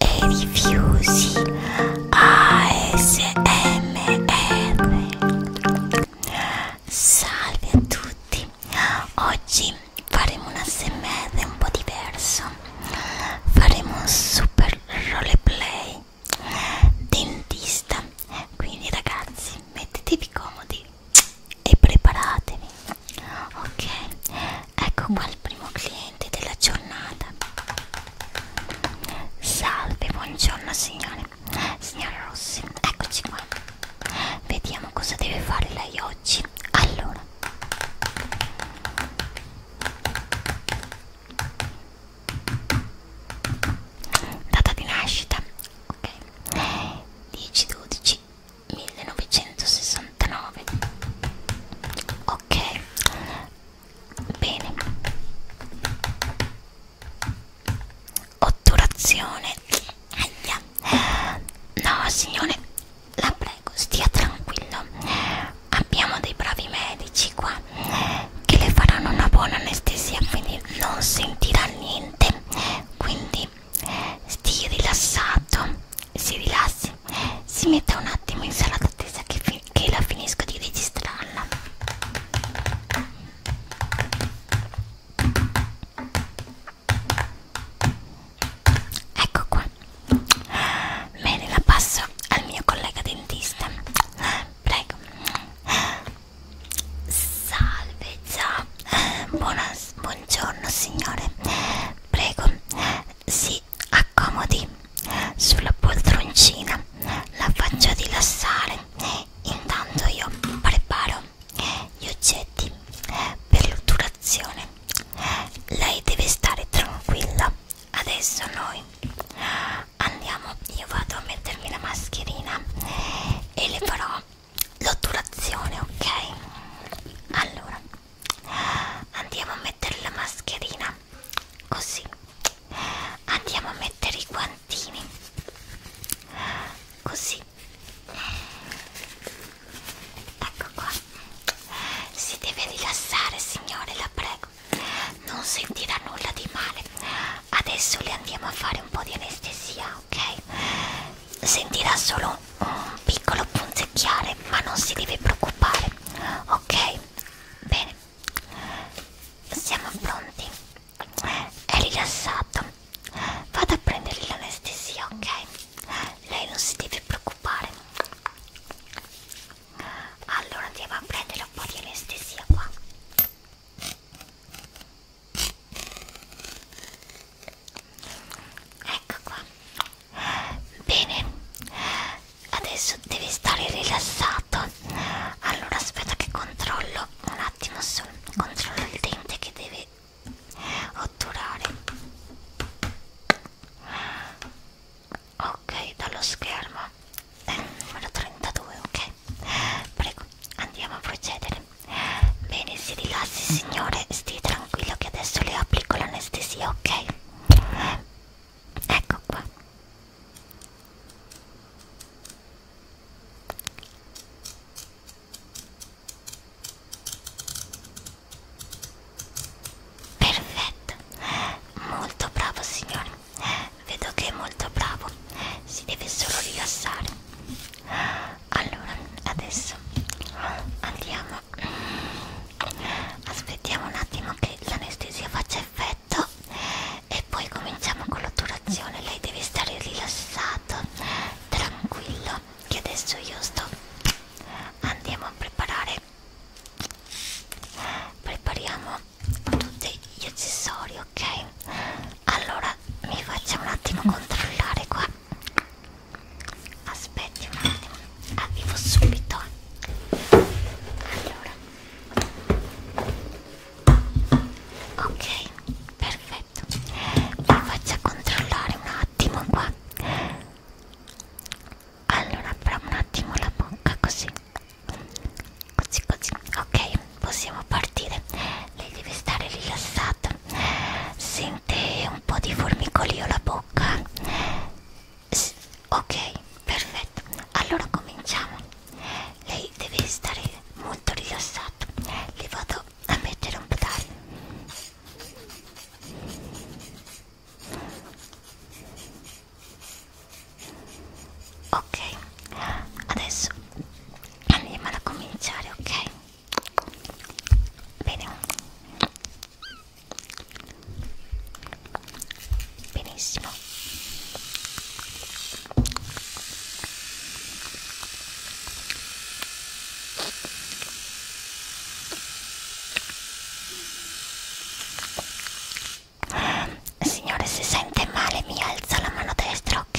e rifiusi ASMR Salve a tutti oggi faremo un ASMR un po' diverso faremo un super roleplay dentista quindi ragazzi mettetevi comodi e preparatevi ok ecco qua il primo cliente della giornata salve buongiorno signore signora Rossi eccoci qua vediamo cosa deve fare lei oggi allora data di nascita ok 10 12 1969 ok bene otturazione Aia. no signore la prego stia tranquillo abbiamo dei bravi medici qua che le faranno una buona anestesia quindi non sentirà niente quindi stia rilassato, si rilassi, si metta un attimo in sala d'attesa che, che la finisco di registrarla. Ecco qua, bene la passo al mio collega dentista, prego. Salve, ciao, Buona, buongiorno signore, prego, si accomodi sulla poltroncina, la faccio rilassare, intanto io preparo gli oggetti per l'otturazione. Lei deve stare tranquilla, adesso noi andiamo, io vado a mettermi la mascherina e le farò l'otturazione, ok? Allora, andiamo a mettere la mascherina, così. Andiamo a mettere i guantini, così. Ecco qua. Si deve rilassare, signore, la prego. Non sentirà nulla di male. Adesso le andiamo a fare un po' di anestesia, ok? Sentirà solo un piccolo punzecchiare, ma non si deve preoccupare, ok? Bene, siamo pronti. È rilassato. Vado a prendergli l'anestesia, ok? Lei non si deve preoccupare. Allora andiamo a prendere un po' di anestesia qua ecco qua bene adesso devi stare rilassato allora aspetta che controllo un attimo solo controllo il dente che deve otturare ok dallo schermo è eh, il numero 32 ok Prego, andiamo a procedere. Bene, si rilassi signore, stia tranquillo che adesso le applico l'anestesia, ok? Ecco qua. Perfetto, molto bravo signore vedo che è molto bravo si deve solo rilassare allora adesso andiamo aspettiamo un attimo che l'anestesia faccia effetto e poi cominciamo con l'otturazione lei deve stare rilassato tranquillo che adesso io sto andiamo a preparare prepariamo tutti gli accessori, ok? Allora mi faccia un attimo controllare qua. Aspetti un attimo, arrivo ah, subito. Allora. Ok, perfetto. Mi faccia controllare un attimo qua. Allora, però un attimo la bocca così così così ok possiamo partire lei deve stare rilassata sente un po' di formicolio alla bocca S ok perfetto allora cominciamo lei deve stare molto rilassata le vado a mettere un pedale ok adesso andiamo a cominciare ok bene benissimo Signore, se sente male mi alza la mano destra, ok?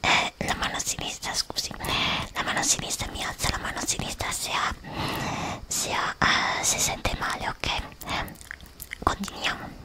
Eh, la mano sinistra, scusi. La mano sinistra mi alza la mano sinistra se ha... Se, ha, uh, eh, se sente male, ok? Eh, continuiamo.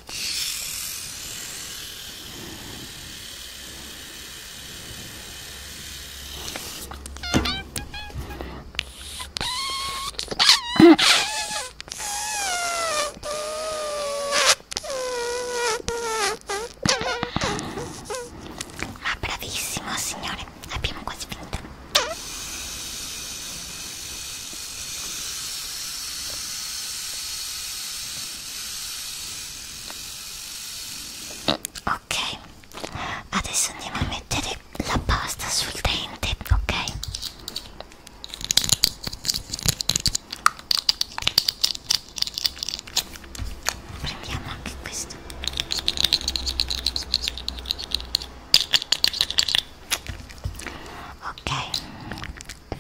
Ma bravissimo signore, abbiamo quasi finito. Ok, adesso andiamo a mettere la pasta sul dente, ok? Prendiamo anche questo ok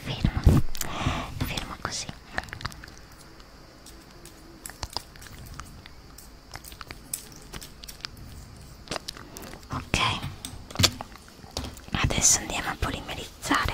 fermo fermo così ok adesso andiamo a polimerizzare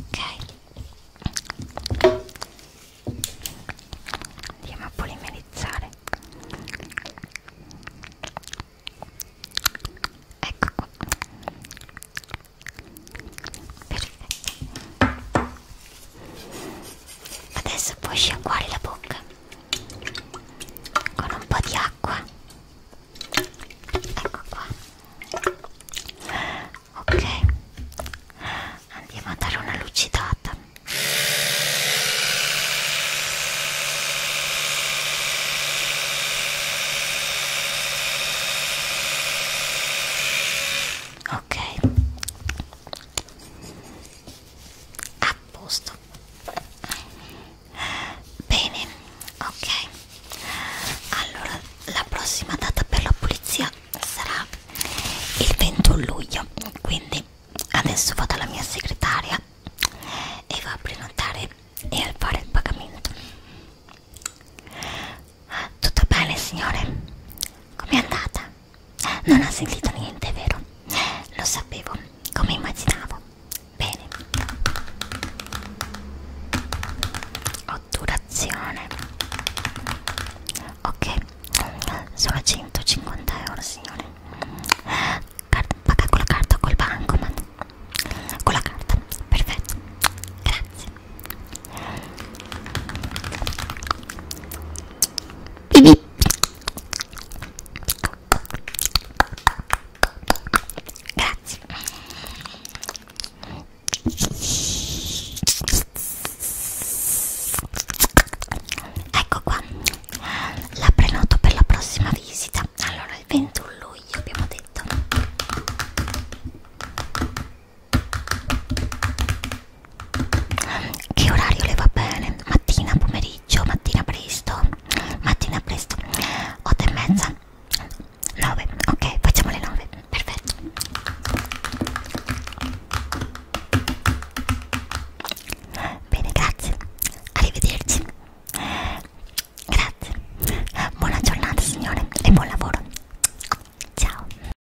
ok andiamo a polimerizzare ecco qua perfetto adesso puoi sciacquare la bocca con un po' di acqua ecco qua ok andiamo a dare una lucidata ok a posto Bene, ok. Allora, la prossima data per la pulizia sarà il 21 luglio. Quindi adesso vado alla mia segretaria e va a prenotare e a fare il pagamento. Tutto bene, signore? Com'è andata? Non ha sentito niente, vero? Lo sapevo, come immaginavo. Bene. Otturazione. Ok, sono 150 euro, signore. Car paga con la carta o col bancomat? Con la carta, perfetto. Grazie. Grazie. Ecco qua. La prenoto per la prossima visita. Allora, il 21 luglio abbiamo detto. Che orario le va bene? Mattina, pomeriggio, mattina presto, mattina presto, 8 e mezza, 9, ok, facciamo le 9, perfetto. Bene, grazie, arrivederci. Grazie, buona giornata signore e buon lavoro. Ciao.